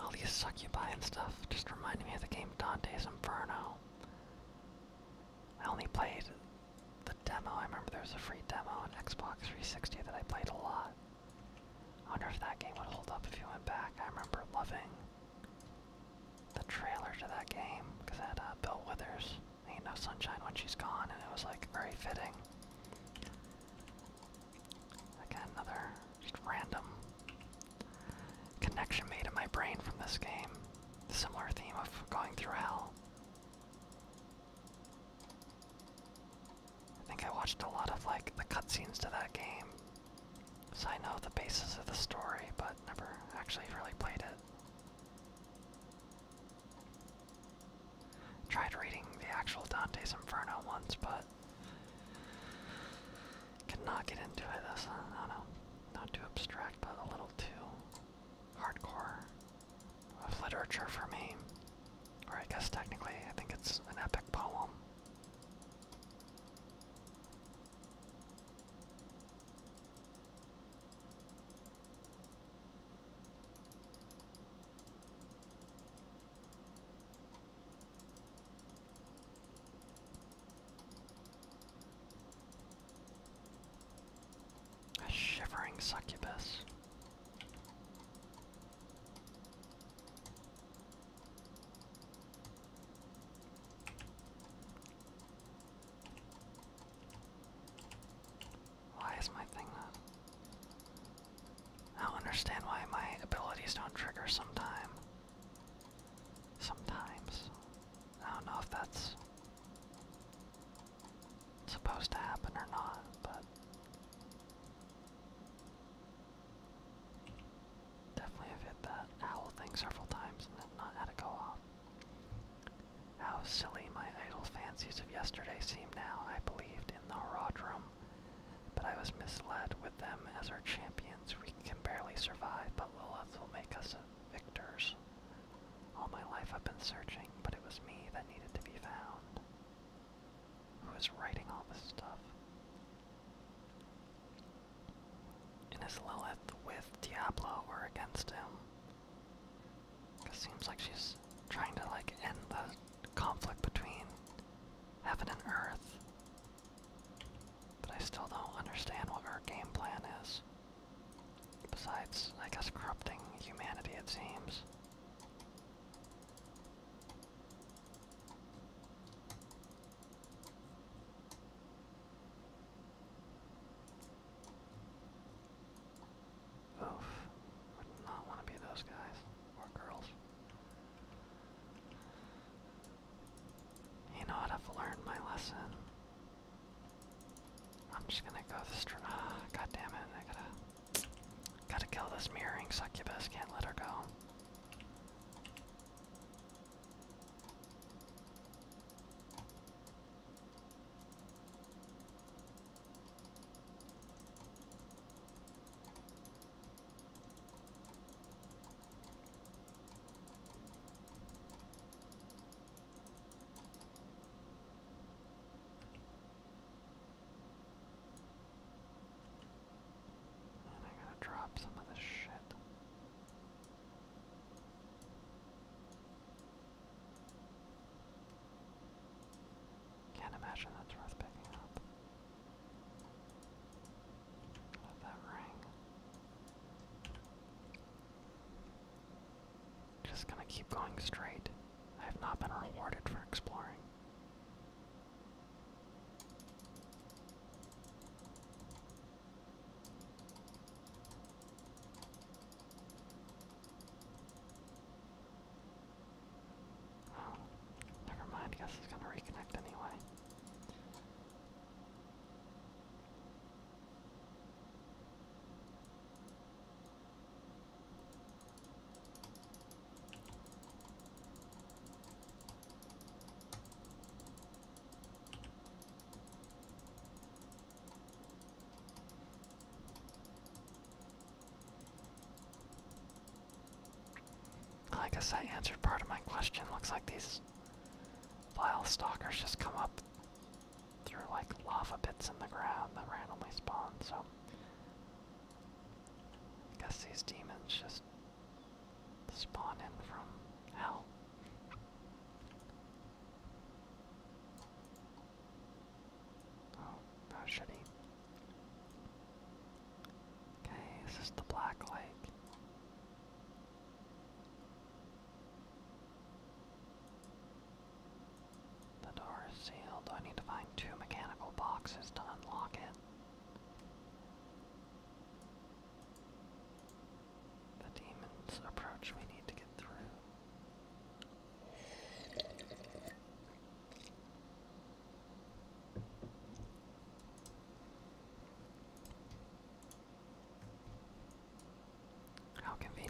All these succubi and stuff just reminded me of the game Dante's Inferno. I only played the demo. I remember there was a free demo on Xbox 360 that I played a lot. I wonder if that game would hold up if you went back. I remember loving the trailer to that game because it had uh, Bill Withers. Ain't no sunshine when she's gone, and it was like very fitting. Again, another just random connection made in my brain from this game. The similar theme of going through hell. I think I watched a lot of like the cutscenes to that game so I know the basis of the story, but never actually really played it. Tried reading the actual Dante's Inferno once, but could get into it. I don't know, not too abstract, but a little too hardcore of literature for me. Or I guess technically, I think it's an epic poem. A shivering succubus. Why is my thing not? I will understand why my abilities don't trigger sometime. Sometimes. I don't know if that's supposed to happen or not, but Definitely have that owl thing several times and not had it go off. How silly my idle fancies of yesterday seem now. I believed in the Herodrum, but I was misled with them as our champions. We can barely survive, but Lilith will make us victors. All my life I've been searching, but it was me that needed to be found. Who is writing all this stuff? and his Lilith with Diablo were against him. It seems like she's trying to like end the conflict between heaven and earth. But I still don't understand what her game plan is. Besides, I guess corrupting humanity it seems. Oof. Would not want to be those guys. Or girls. You know what? I've learned my lesson. I'm just gonna go this tr- ah, god damn it, I gotta Gotta kill this mirroring succubus, can't let her go. I gotta drop some of this shit. Can't imagine that's worth picking up. Let that ring. Just gonna keep going straight. I have not been rewarded for exploring. Oh, never mind. Guess it's gonna reconnect anyway. I guess that answered part of my question. Looks like these file stalkers just come up through like lava bits in the ground that randomly spawn, so I guess these demons just spawn in from hell. Oh, how should he? Okay, is the Black Lake? The door is sealed. I need to find two mechanical boxes to unlock it the demon's approach we need to get through. How convenient.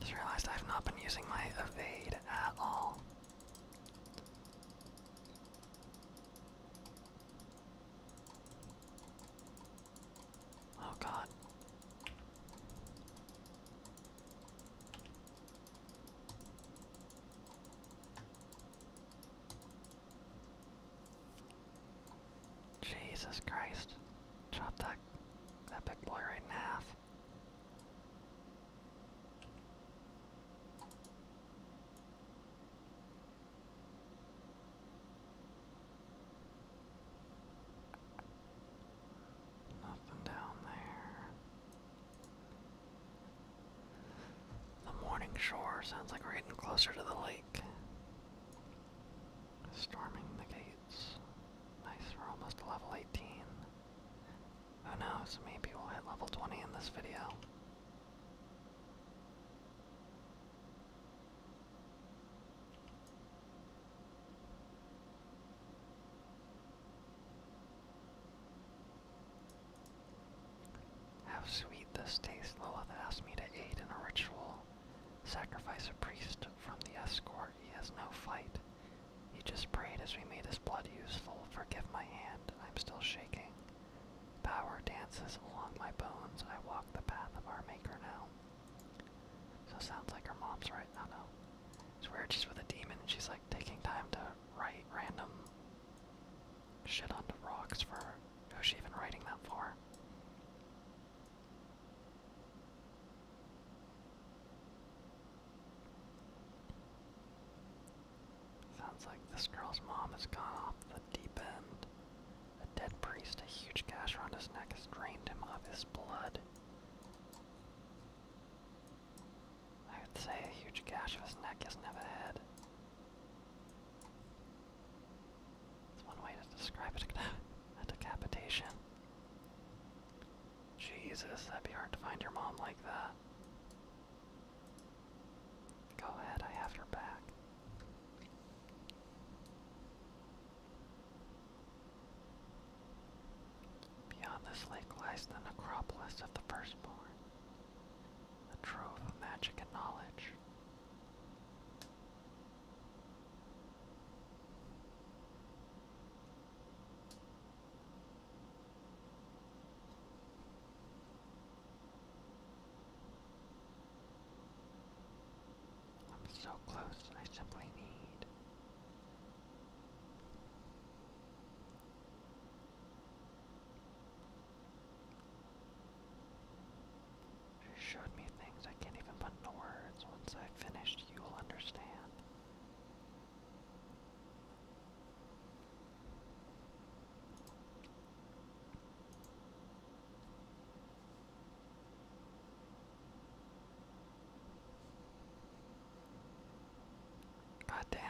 Just realized I've not been using my evade at all. Oh god. Jesus Christ. Chop that that big boy right in half. Nothing down there. The morning shore sounds like we're getting closer to the lake. Storming the gates. Nice, we're almost to level 18. Who knows, maybe we'll hit level 20 in this video. How sweet this taste, Lilith asked me to aid in a ritual. Sacrifice a priest from the escort. He has no fight. He just prayed as we made his blood useful. Forgive my hand. I'm still shaking. Power dances along my bones. I walk the path of our maker now. So sounds like her mom's right. I It's weird she's with a demon and she's like taking time to write random shit onto rocks for who's she even writing that for? Sounds like this girl's mom has gone off the deep end. A dead priest, a huge gash around his neck, has drained him of his blood. I would say a huge gash around his neck isn't have a head. That's one way to describe it, a decapitation. Jesus, that'd be hard to find your mom like that. Go ahead, I have your back. Beyond this lake lies the necropolis of the firstborn, a trove of magic and knowledge. I'm so close, I simply need. She showed me things I can't even put into words. Once I've you'll understand. God damn.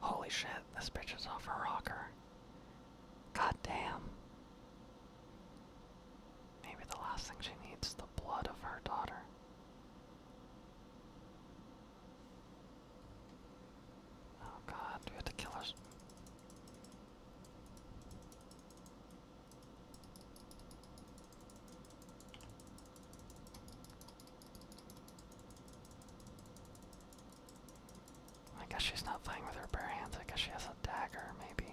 Holy shit, this bitch is off her rocker. God damn. Maybe the last thing she needs is the blood of her daughter. Oh god, we have to kill her. I guess she's not playing with her bare hands. I guess she has a dagger, maybe.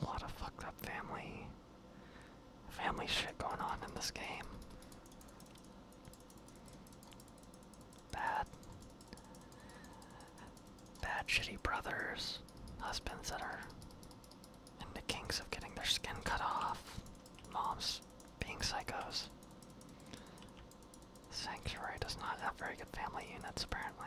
A lot of fucked up family family shit going on in this game. Bad bad shitty brothers, husbands that are in the kinks of getting their skin cut off moms being psychos. Sanctuary does not have very good family units, apparently.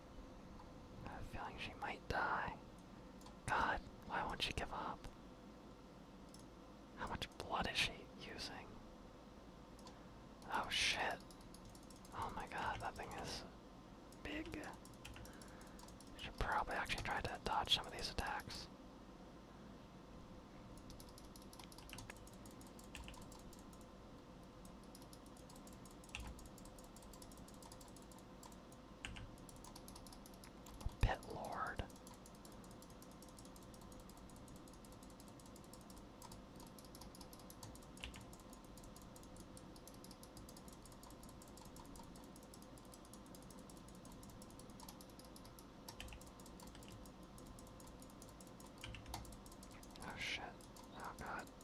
I have a feeling she might die. God, why won't she give up? How much blood is she using? Oh shit. Oh my god, that thing is big. Should probably actually try to dodge some of these attacks. Pet Lord. Oh shit. Oh god.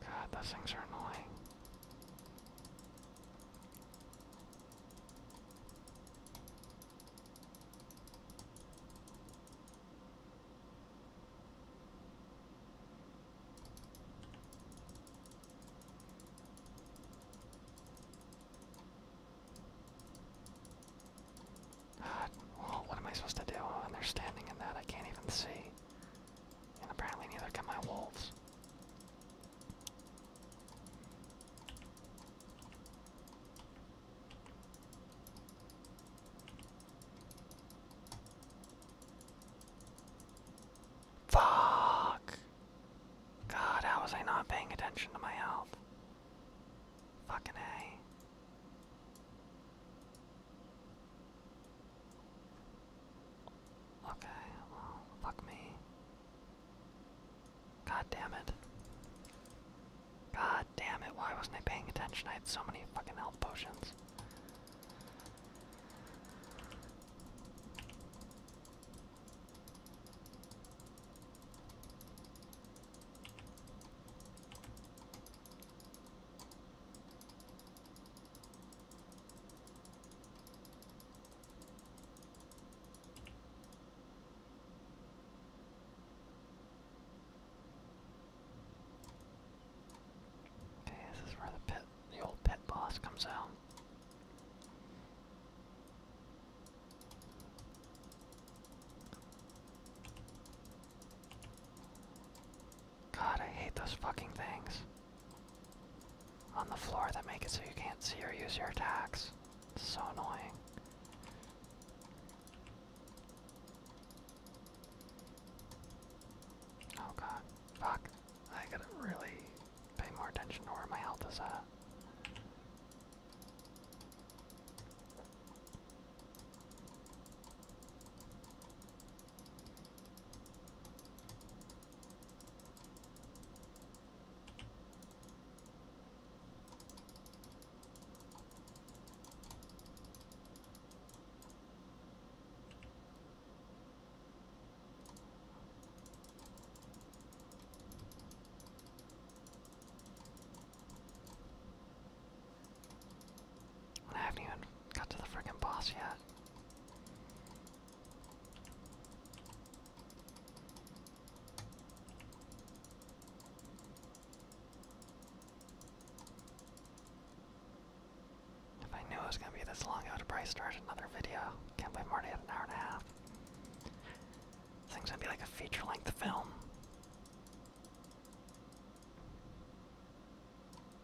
God, those things are annoying. God, what am I supposed to do when oh, they're standing in that? I can't even see. And apparently neither can my wolves. Fuck! God, how was I not paying attention to my health? Fucking A. Okay, fuck me. God damn it. God damn it, why wasn't I paying attention? I had so many fucking health potions. Okay, this is where the pit, the old pit boss comes out. God, I hate those fucking things. On the floor that make it so you can't see or use your attacks. It's so annoying. Oh god. Fuck. I gotta really pay more attention to where my health is at. I haven't even got to the freaking boss yet. If I knew it was gonna be this long, I would have probably started another video. Can't believe Marty. am an hour and a half. This thing's gonna be like a feature-length film.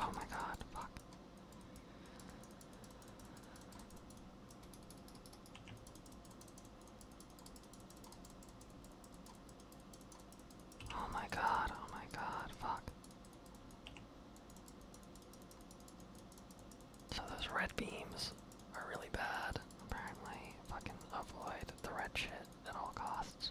Oh my god, fuck. Oh my god, oh my god, fuck. So those red beams are really bad. Apparently, I can avoid the red shit at all costs.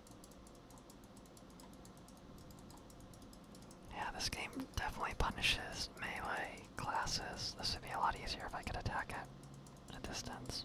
Yeah, this game definitely punishes melee classes. This would be a lot easier if I could attack it at a distance.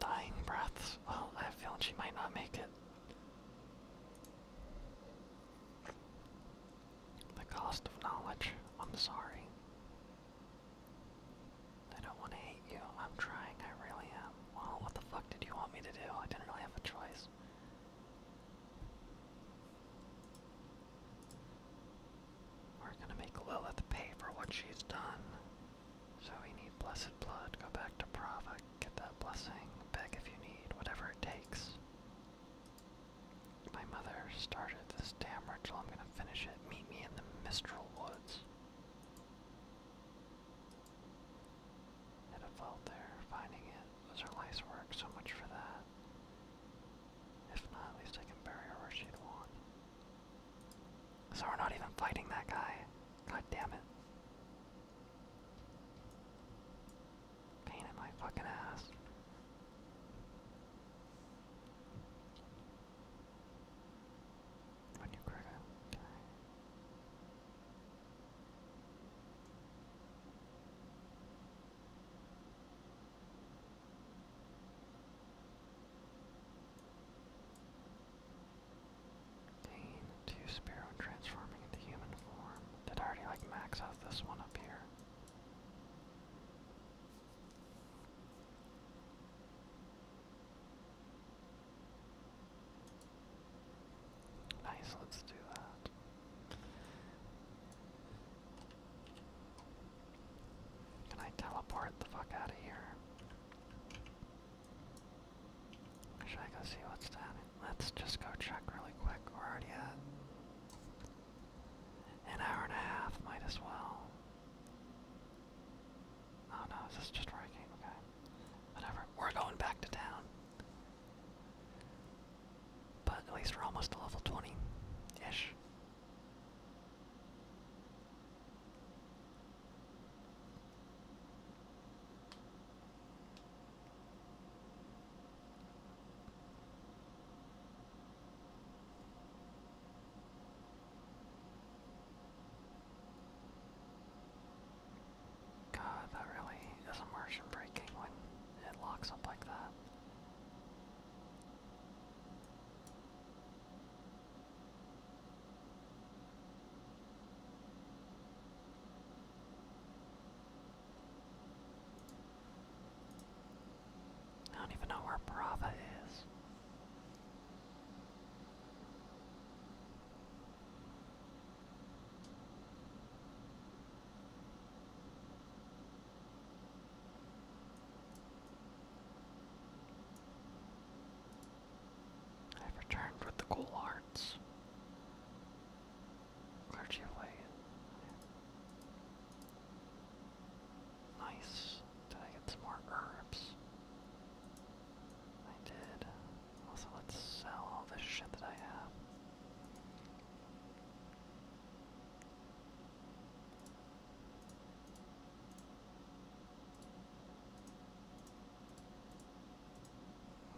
Dying breaths. Well, I have a she might not make it. The cost of knowledge. I'm sorry. I don't want to hate you. I'm trying. I really am. Well, what the fuck did you want me to do? I didn't really have a choice. We're gonna make Lilith pay for what she's done. So we need Blessed Blood, go back to Prava, get that blessing, beg if you need, whatever it takes. My mother started this damn ritual, I'm gonna finish it. Meet me in the Mistral Woods. It felt there, finding it was her life's work, so much for that. If not, at least I can bury her where she'd want. So we're not even fighting that guy. God damn it. Pain in my fucking ass. When you crit it. Dane, to Sparrow transforming into human form. Did I already like max out this one up here? Nice, let's do that. Can I teleport the fuck out of here? should I go see what's down? Let's just go check really quick. We're already an hour and a half, might as well. Oh no, is this just where Okay. Whatever. We're going back to town. But at least we're almost to level 20 ish. God, that really is immersion breaking when it locks up like that. I don't even know where Brava is. I've returned with the cool arts. Clergy Nice. Did I get some more herbs? I did. Also, let's sell all this shit that I have.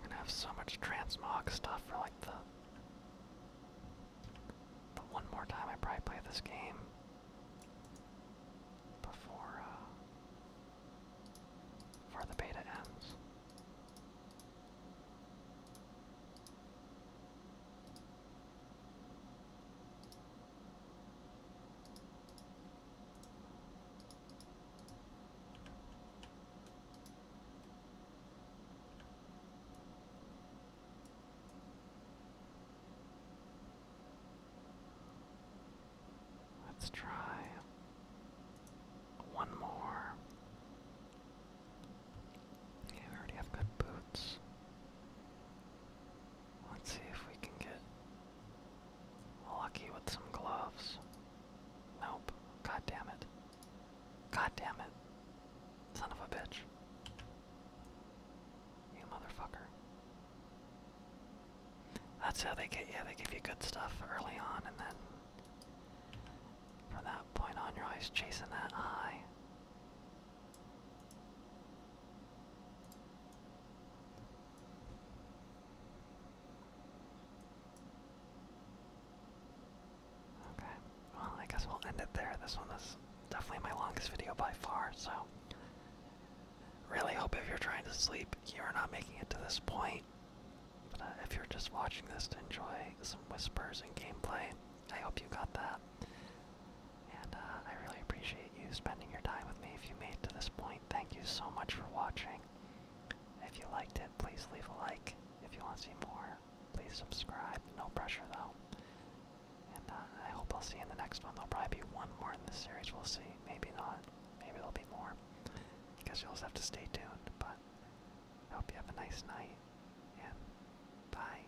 I'm gonna have so much transmog stuff for like the the one more time I probably play this game before uh, before the beta ends. Let's try one more. Yeah, already have good boots. Let's see if we can get lucky with some gloves. Nope. God damn it. God damn it. Son of a bitch. You motherfucker. That's how they get you. They give you good stuff early on, and then from that point on, you're always chasing that high. Okay, well, I guess we'll end it there. This one is definitely my longest video by far, so. Really hope if you're trying to sleep, you're not making it to this point. But uh, if you're just watching this to enjoy some whispers and gameplay, I hope you got that. And uh, I really appreciate you spending your time with me. If you made to this point, thank you so much for watching. If you liked it, please leave a like. If you want to see more, please subscribe. No pressure though. And uh, I hope I'll see you in the next one. There'll probably be one more in the series. We'll see. Maybe not. Maybe there'll be more. Because guess you'll just have to stay tuned. But I hope you have a nice night. And bye.